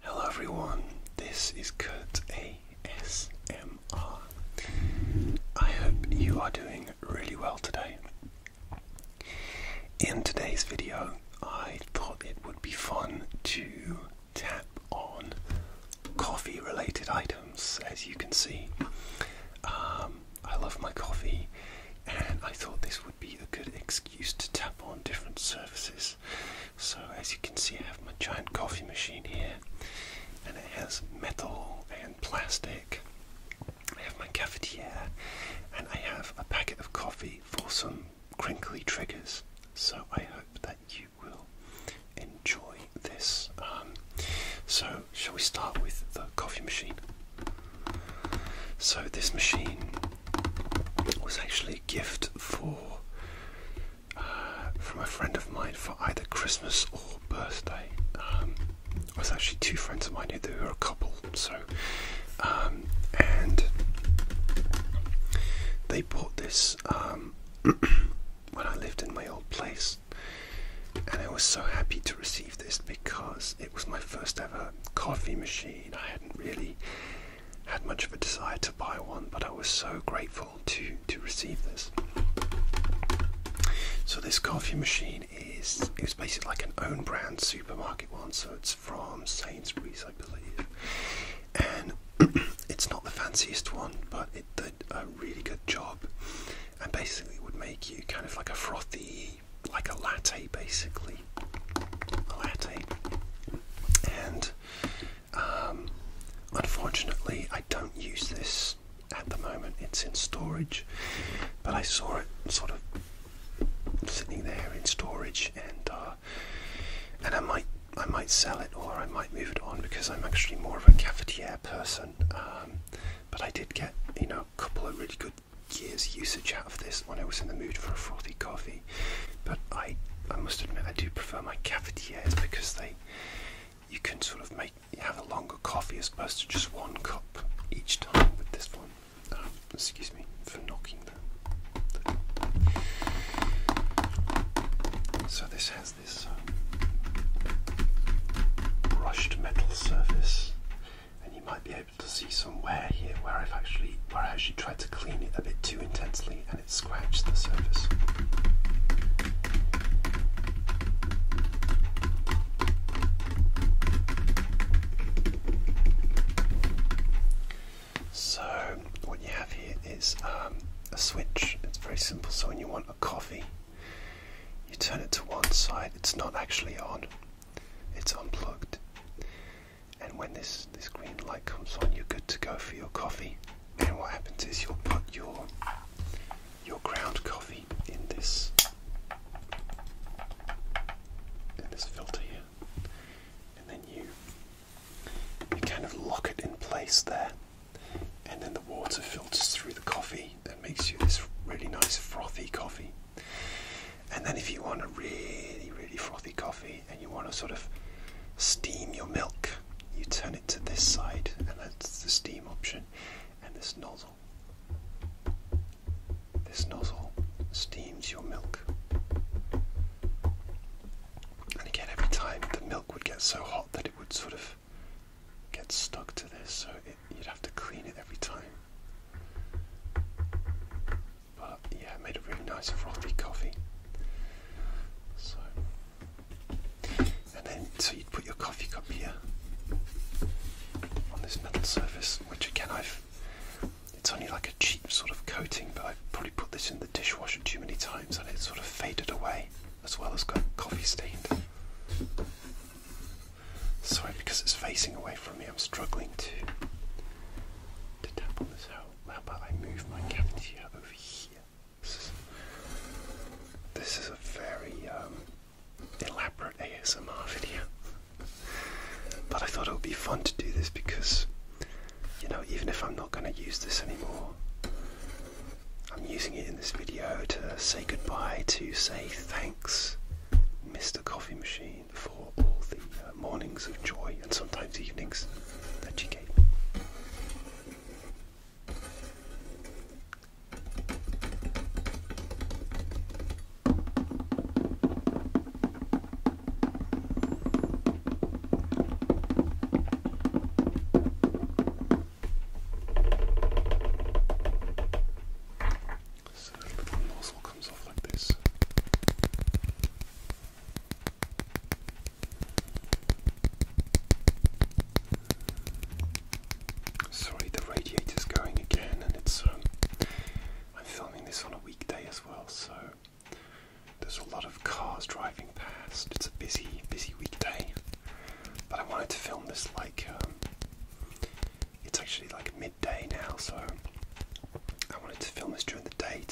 Hello everyone, this is Kurt ASMR. I hope you are doing really well today. In today's video, I thought it would be fun to tap on coffee related items. As you can see, um, I love my coffee, and I thought this would be a good excuse to tap on different surfaces. So, as you can see, I have my giant coffee machine here, and it has metal and plastic. I have my cafetiere, and I have a packet of coffee for some crinkly triggers. So, I hope that you will enjoy this. Um, so, shall we start with the coffee machine? So, this machine was actually gift for uh, from a friend of mine for either Christmas or birthday. Um, it was actually two friends of mine who were a couple, so um, and they bought this um, when I lived in my old place, and I was so happy to receive this because it was my first ever coffee machine. I hadn't really had much of a desire to buy one, but I was so grateful to to receive this. So this coffee machine is it was basically like an own brand supermarket one, so it's from Sainsbury's, I believe, and it's not the fanciest one, but it did a really good job, and basically would make you kind of like a frothy, like a latte, basically, latte, and um, unfortunately, I don't use this at the moment. It's in storage, but I saw it sort of sitting there in storage, and uh, and I might I might sell it or I might move it on because I'm actually more of a cafetiere person. Um, but I did get you know a couple of really good years usage out of this when I was in the mood for a frothy coffee but I, I must admit, I do prefer my cafetieres because they, you can sort of make have a longer coffee as opposed to just one cup each time But this one. Ah, excuse me for knocking that. so this has this um, brushed metal surface, and you might be able to see some wear here where I've actually tried to clean it a bit too intensely and it scratched the surface. So what you have here is um, a switch. It's very simple. So when you want a coffee, you turn it to one side. It's not actually on. It's unplugged and when this this green light comes on, you're good to go for your coffee. And what happens is you'll put your your ground coffee in this in this filter here, and then you you kind of lock it in place there, and then the water filters through the coffee that makes you this really nice frothy coffee. And then if you want a really, really frothy coffee and you want to sort of steam your milk, you turn it to this side, and that's the steam option, and this nozzle. This nozzle steams your milk. And again, every time the milk would get so hot that it would sort of get stuck to this, so you'd have to clean it every time. But yeah, it made a really nice frothy coffee. So, and then so you'd put your coffee cup here on this metal surface, which again I've. It's only like a cheap sort of coating, but I've probably put this in the dishwasher too many times, and it sort of faded away, as well as got coffee stained. Sorry, because it's facing away from me, I'm struggling to to tap on this How about I move my cavity over here? This is, this is a very um, elaborate ASMR video. But I thought it would be fun to do this because, you know, even if I'm not going to use this anymore, I'm using it in this video to say goodbye, to say thanks, Mr. Coffee Machine for all the uh, mornings of joy and sometimes evenings that you gave me. So the one nozzle comes off like this. Sorry, the radiator's going again, and it's. Um, I'm filming this on a weekday as well, so there's a lot of cars driving past. It's a busy, busy weekday, but I wanted to film this like um, it's actually like midday now, so I wanted to film this during the day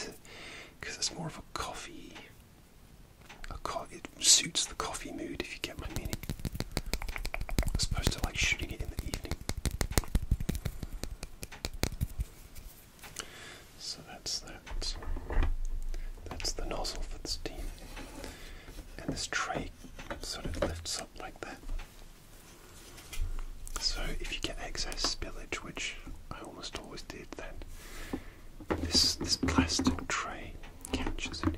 because it's more of a coffee. A co it suits the coffee mood, if you get my meaning, as opposed to like shooting it in the evening. So that's that. That's the nozzle for the steam, and this tray sort of lifts up like that. So if you get excess spillage, which I almost always did, then this this plastic tray catches it.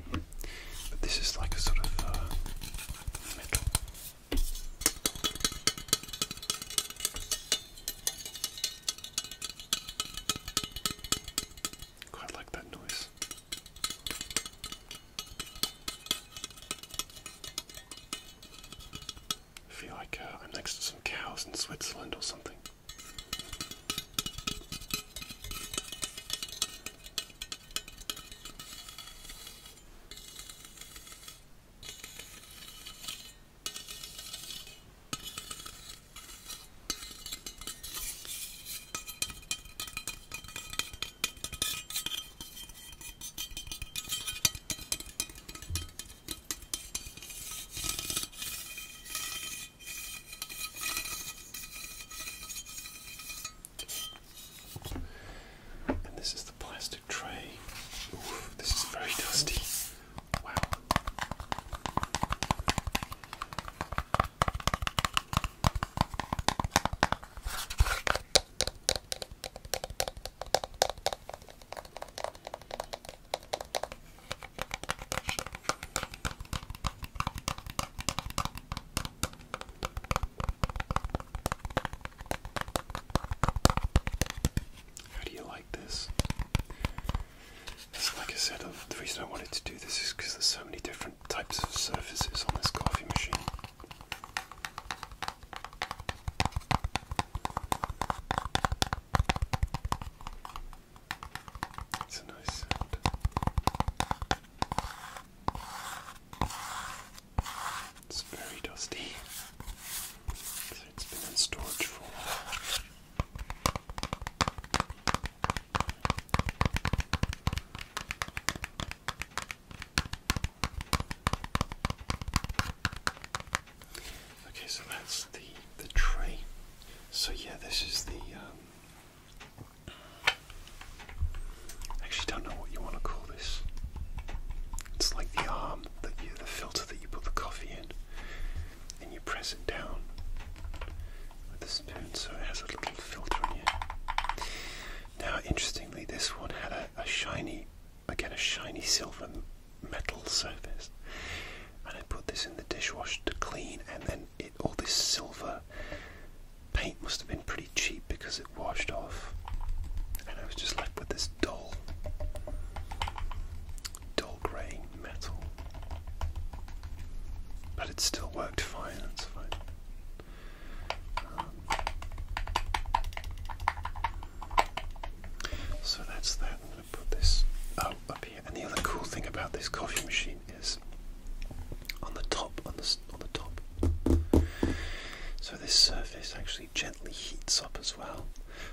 But this is like a sort of uh, metal. Quite like that noise. I feel like uh, I'm next to some cows in Switzerland or something. And this is the plastic tray. Oof, this is very dusty. Wow. How do you like this? It's like I said, the reason I wanted to do this is because there's so many different types of surfaces on this coffee machine. It's a nice sound. It's very dusty. So it's been in storage for Okay, so that's the the tray. So yeah, this is the. Um, actually, don't know what you want to call this. It's like the arm that you, the filter that you put the coffee in, and you press it down with the spoon, so it has a little filter on it. Now, interestingly, this one had a shiny again a shiny silver metal surface. And I put this in the dishwasher to clean, and then all this silver paint must have been pretty cheap because it washed off. And I was just left with this dull, dull grey metal. But it still worked fine, that's fine. So that's that. I'm going to put this oh, And the other cool thing about this coffee machine is on the top, on the on the top. So this surface actually gently heats up as well,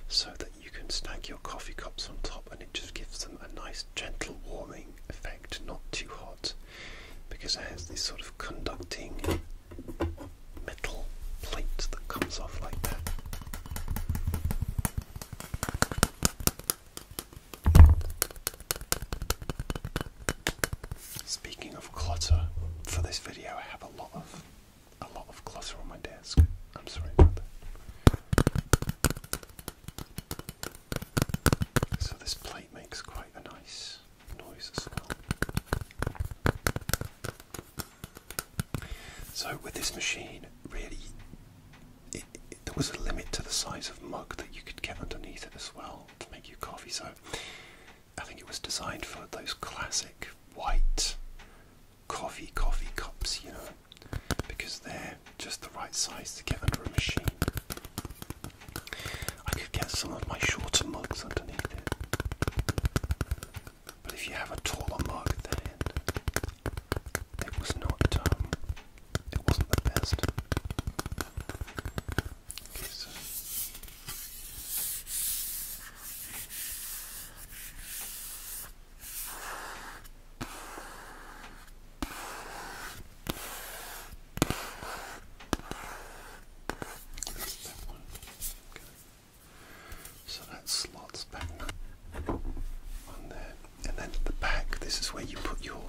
so that you can stack your coffee cups on top, and it just gives them a nice gentle warming effect, not too hot, because it has this sort of conducting metal plate that comes off like that. Speaking of clutter, for this video I have a lot of a lot of clutter on my desk. I'm sorry about that. So this plate makes quite a nice noise as well. So with this machine, really, there was a limit to the size of mug that you could get underneath it as well to make your coffee. So I think it was designed for those classic white coffee coffee cups, you know, because they're just the right size to get under a machine. I could get some of my shorter mugs underneath it. But if you have a taller mug, then it was not, um, it wasn't the best. So that slots back on there. And then at the back, this is where you put your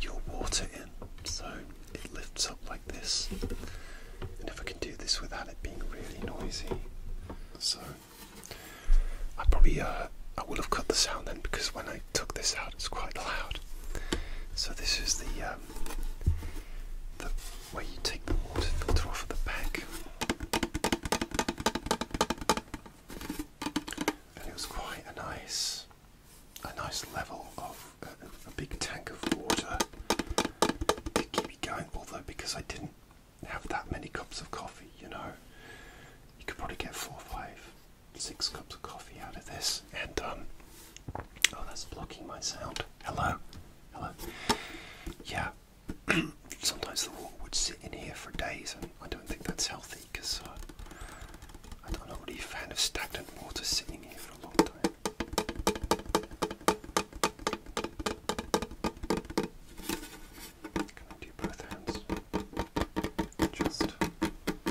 your water in. So it lifts up like this. And if I can do this without it being really noisy. So I probably uh I will have cut the sound then because when I took this out it's quite loud. So this is the um, the way you take the water filter off at the back. And it was quite a nice, a nice level of uh, a big tank of water to keep going. Although because I didn't have that many cups of coffee, you know, you could probably get four or five six cups of coffee out of this, and um, oh, that's blocking my sound. Hello, hello. Yeah, sometimes the water would sit in here for days, and I don't think that's healthy because uh, i do not really a fan of stagnant water sitting here for a long time. Can I do both hands? Just.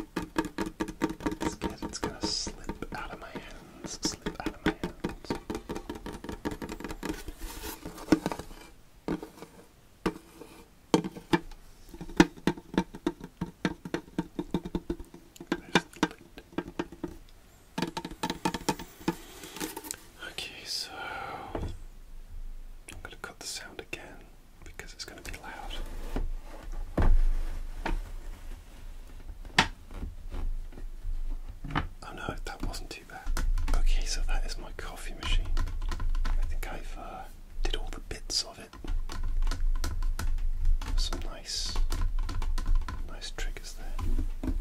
It's good. It's gonna slip out of my hands. Slip out of my hands. There's the lid. Okay, so I'm gonna cut the sound again because it's gonna be loud. Oh no, that wasn't too bad. Okay, so that is my coffee machine. I think I've uh, did all the bits of it. Some nice, nice triggers there.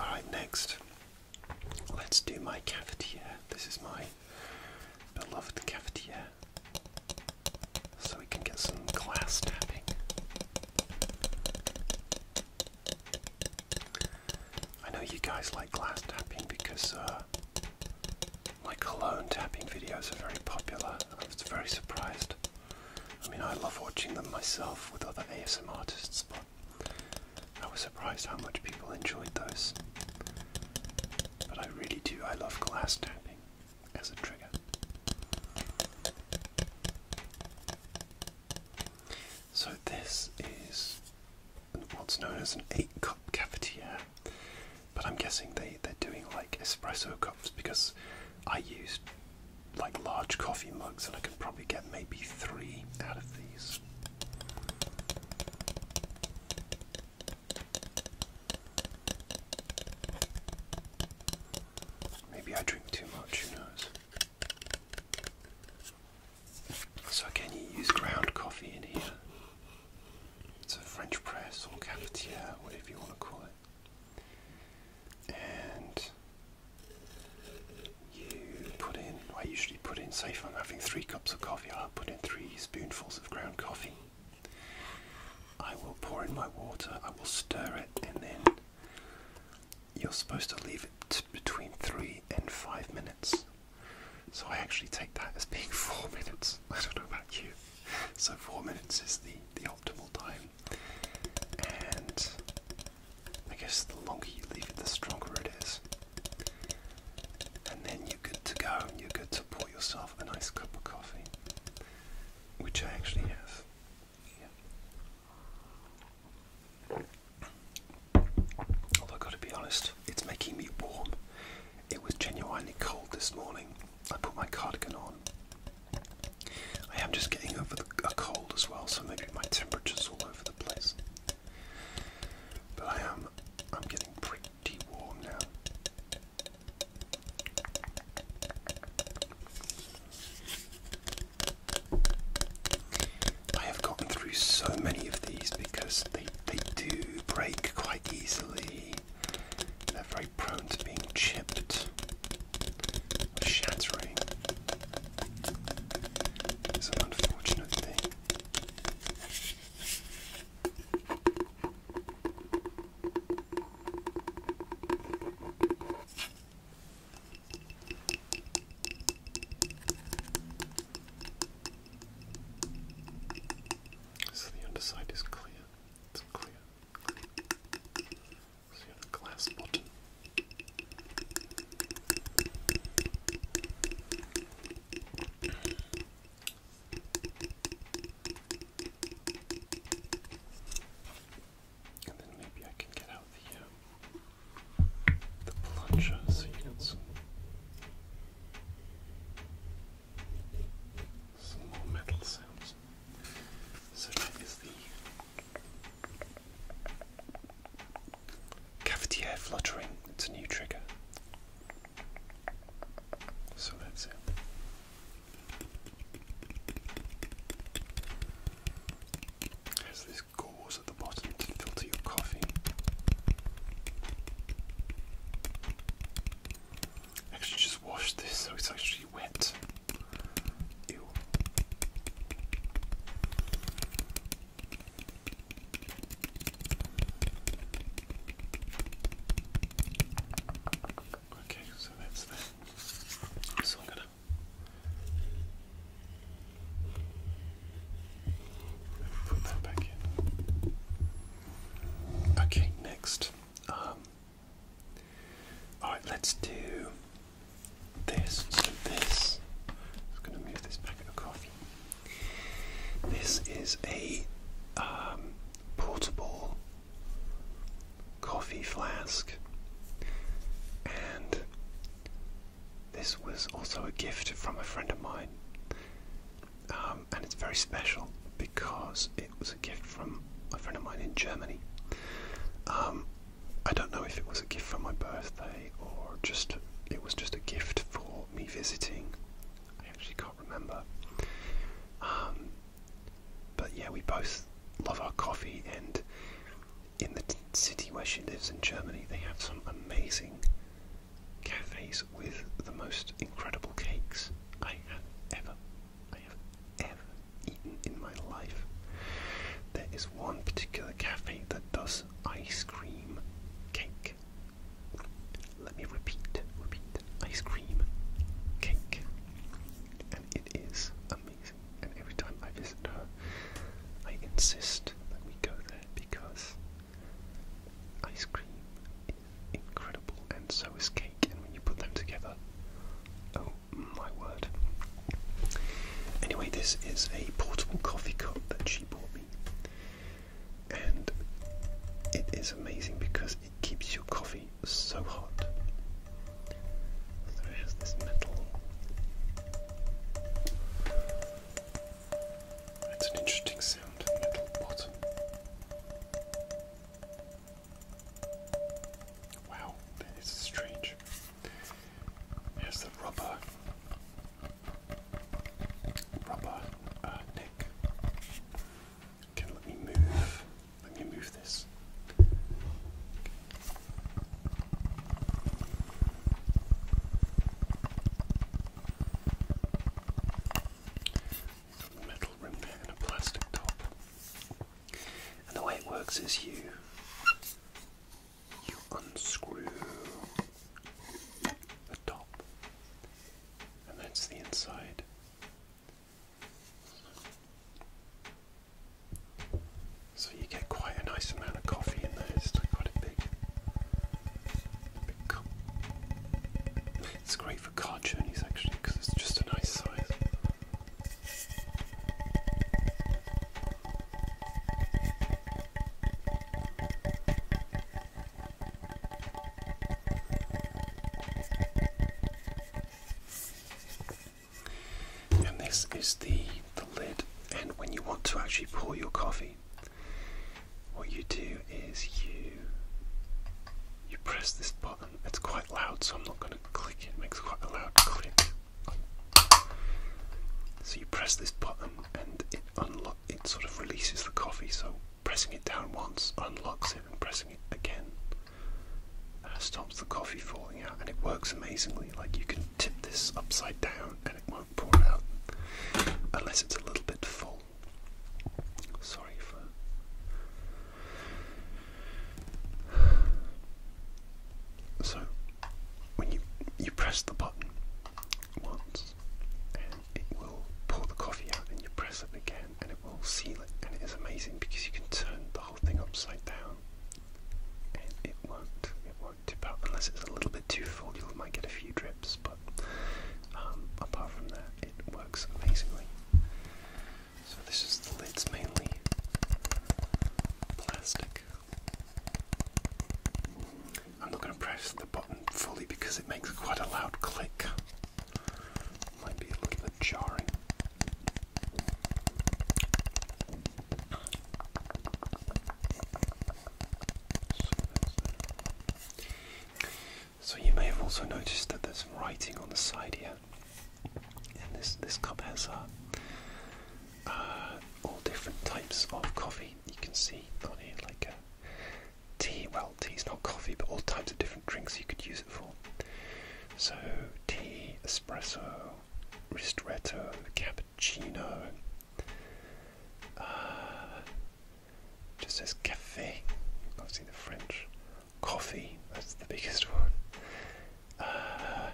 All right, next, let's do my cafetiere. This is my beloved cafetiere so we can get some glass tapping. I know you guys like glass tapping because uh, my cologne tapping videos are very popular. I was very surprised. I mean, I love watching them myself with other ASM artists, but I was surprised how much people enjoyed those. But I really do, I love glass tapping as a trigger. So this is what's known as an eight cup cafetiere, but I'm guessing they, they're doing like espresso cups because I used like large coffee mugs and I can probably get maybe three out of these. Maybe I drink too much, who knows? So, can you use ground coffee in here? It's a French press or cafetiere, whatever you want to call it. And you put in, well, you put in, safe. I'm having three cups of coffee, I'll put in three spoonfuls of ground coffee. I will pour in my water, I will stir it, and then you're supposed to leave it between three and five minutes. So I actually take that as being four minutes. I don't know about you. So four minutes is the, the optimal time. And I guess the longer you leave it, the stronger it is. And then you're good to go and you're good to pour yourself a nice cup of coffee, which I actually have. Although, gotta be honest, it's making me warm. It was genuinely cold this morning. I put my cardigan on. I am just getting over a cold as well, so maybe my temperature's all over the place. But I am I'm getting pretty warm now. I have gotten through so many of these because they, they do break quite easily. They're very prone to being chipped shattering. It's an unfortunate thing. So the underside is clear. It's clear. So you have a glass bottom. And maybe I can get out the um, plunger so you get some more metal sounds. So that is the Cavetier fluttering. It's a new trigger. So that's it. There's this gauze at the bottom to filter your coffee. Actually, just wash this so it's actually wet. Ew. Okay, so that's that. So I'm gonna put that back in. Okay, next. Um, all right, let's do this. So this. I'm just gonna move this packet of this is a um, portable coffee flask, and this was also a gift from a friend of mine. Um, and it's very special because it was a gift from a friend of mine in Germany. Um, I don't know if it was a gift for my birthday or just it was just a gift for me visiting. I actually can't remember. Um, but yeah, we both love our coffee, and in the city where she lives in Germany, they have some amazing cafes with the most incredible cakes I have ever, I have ever eaten in my life. There is one particular cafe that does ice cream cake. Let me repeat, repeat. Ice cream cake. And it is amazing. And every time I visit her, I insist that we go there because ice cream is incredible and so is cake. And when you put them together, oh my word. Anyway, this is a portable coffee cup that she bought me and it is amazing because it keeps your coffee so hot. So this metal. It's an interesting sound, metal bottom. Wow, that is strange. There's the rubber rubber uh, neck. let me move. Let me move this. Okay. Metal rim there and a plastic top. And the way it works is you you unscrew the top, and that's the inside. So you get quite a nice amount of coffee in there. It's quite big, It's great for car journeys actually because it's just a nice size. And this is the the lid. And when you want to actually pour your coffee, what you do is you you press this button. It's quite loud, so I'm not going to click it. It makes quite a loud click. So you press this button and it unlock it sort of releases the coffee. So pressing it down once unlocks it, and pressing it again uh, stops the coffee falling out. And it works amazingly. Like you can tip this upside down and it won't pour out unless it's a little bit full. Sorry for. So, when you you press the button, once and it will pour the coffee out and you press it again and it will seal it and it is amazing because you can turn the whole thing upside down and it won't it won't tip out unless it's a little bit too full you might get a few drips but um, apart from that it works amazingly so this is the lids mainly plastic I'm not going to press the button fully because it makes quite a loud click. Might be a little bit jarring. So you may have also noticed that there's writing on the side here, and this this cup has uh, uh all different types of coffee you can see on here like a tea. Well, tea is not coffee, but all types of different drinks you could use it for. So tea, espresso, ristretto, cappuccino. Uh, just as cafe. I Obviously the French coffee. That's the biggest one. Uh,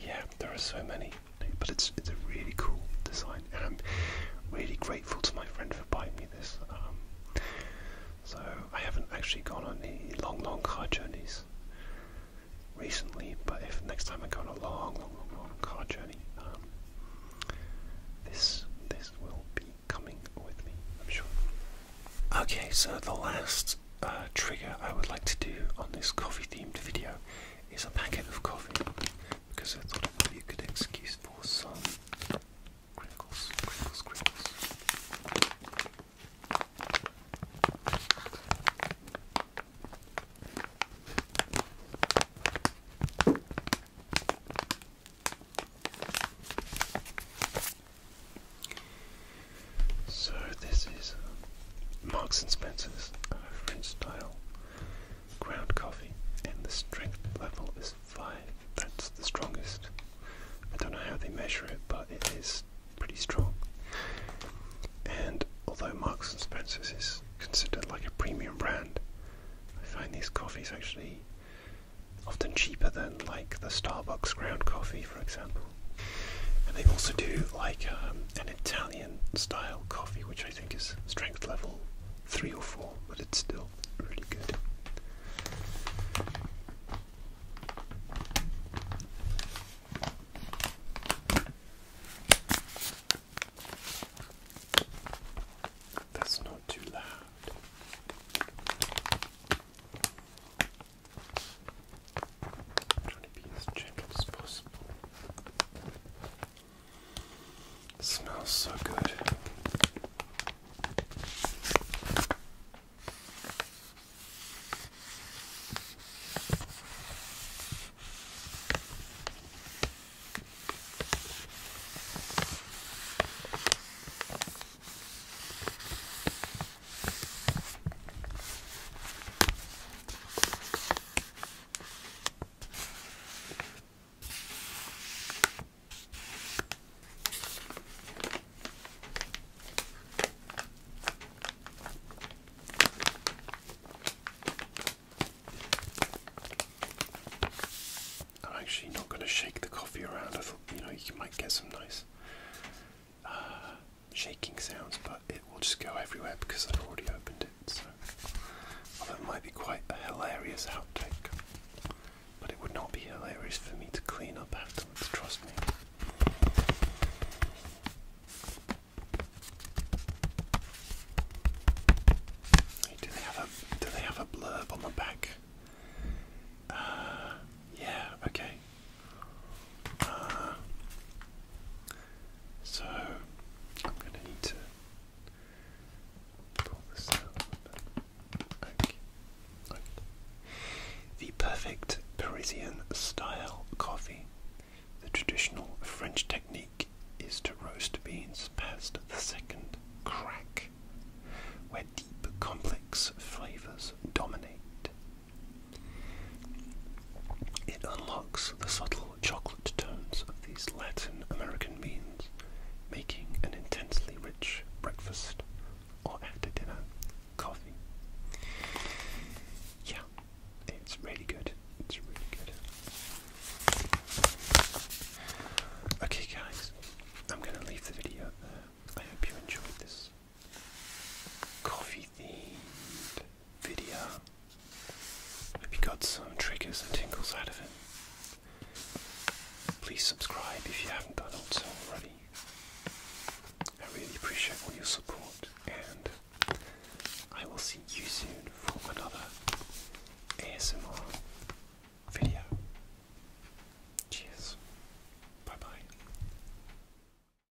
yeah, there are so many, but it's it's a really cool design, and I'm really grateful to my friend for buying me this. Um, so I haven't actually gone on any long, long car journeys recently, but if next time I go on a long, long, long, car journey, um, this this will be coming with me, I'm sure. Okay, so the last uh, trigger I would like to do on this coffee-themed video is a packet of coffee because I thought it would be a good excuse for some crinkles, crinkles, crinkles. So, this is Marks and Spencer's French style ground coffee, and the strength level is five. That's the strongest. I don't know how they measure it, but it is pretty strong. And although Marks and Spencer's is considered like a premium brand, I find these coffees actually often cheaper than like the Starbucks ground coffee, for example. And they also do like um, an Italian style coffee, which I think is strength level three or four, but it's still really good. That's not too loud trying to be as gentle as possible. smells so good. I'm actually not going to shake the coffee around. I thought you know you might get some nice shaking sounds, but it will just go everywhere because I've already opened it. So, although it might be quite hilarious outtake, but it would not be hilarious for me to clean up afterwards. Trust me. do they have a do they have a blurb on the back? Uh, yeah. Okay. Uh, so I'm going to need to pull this out. The perfect Parisian style coffee. The traditional French technique is to roast beans past the second crack, where deep, complex flavors dominate. It unlocks the subtle chocolate tones of these Latin American means, making an intensely rich breakfast or after dinner coffee. Yeah, it's really good. It's really good. Okay, guys, I'm going to leave the video there. I hope you enjoyed this coffee themed video. Hope you got some triggers and tingles out of it. Please subscribe if you haven't done so already. I really appreciate all your support and I will see you soon for another ASMR video. Cheers. Bye bye.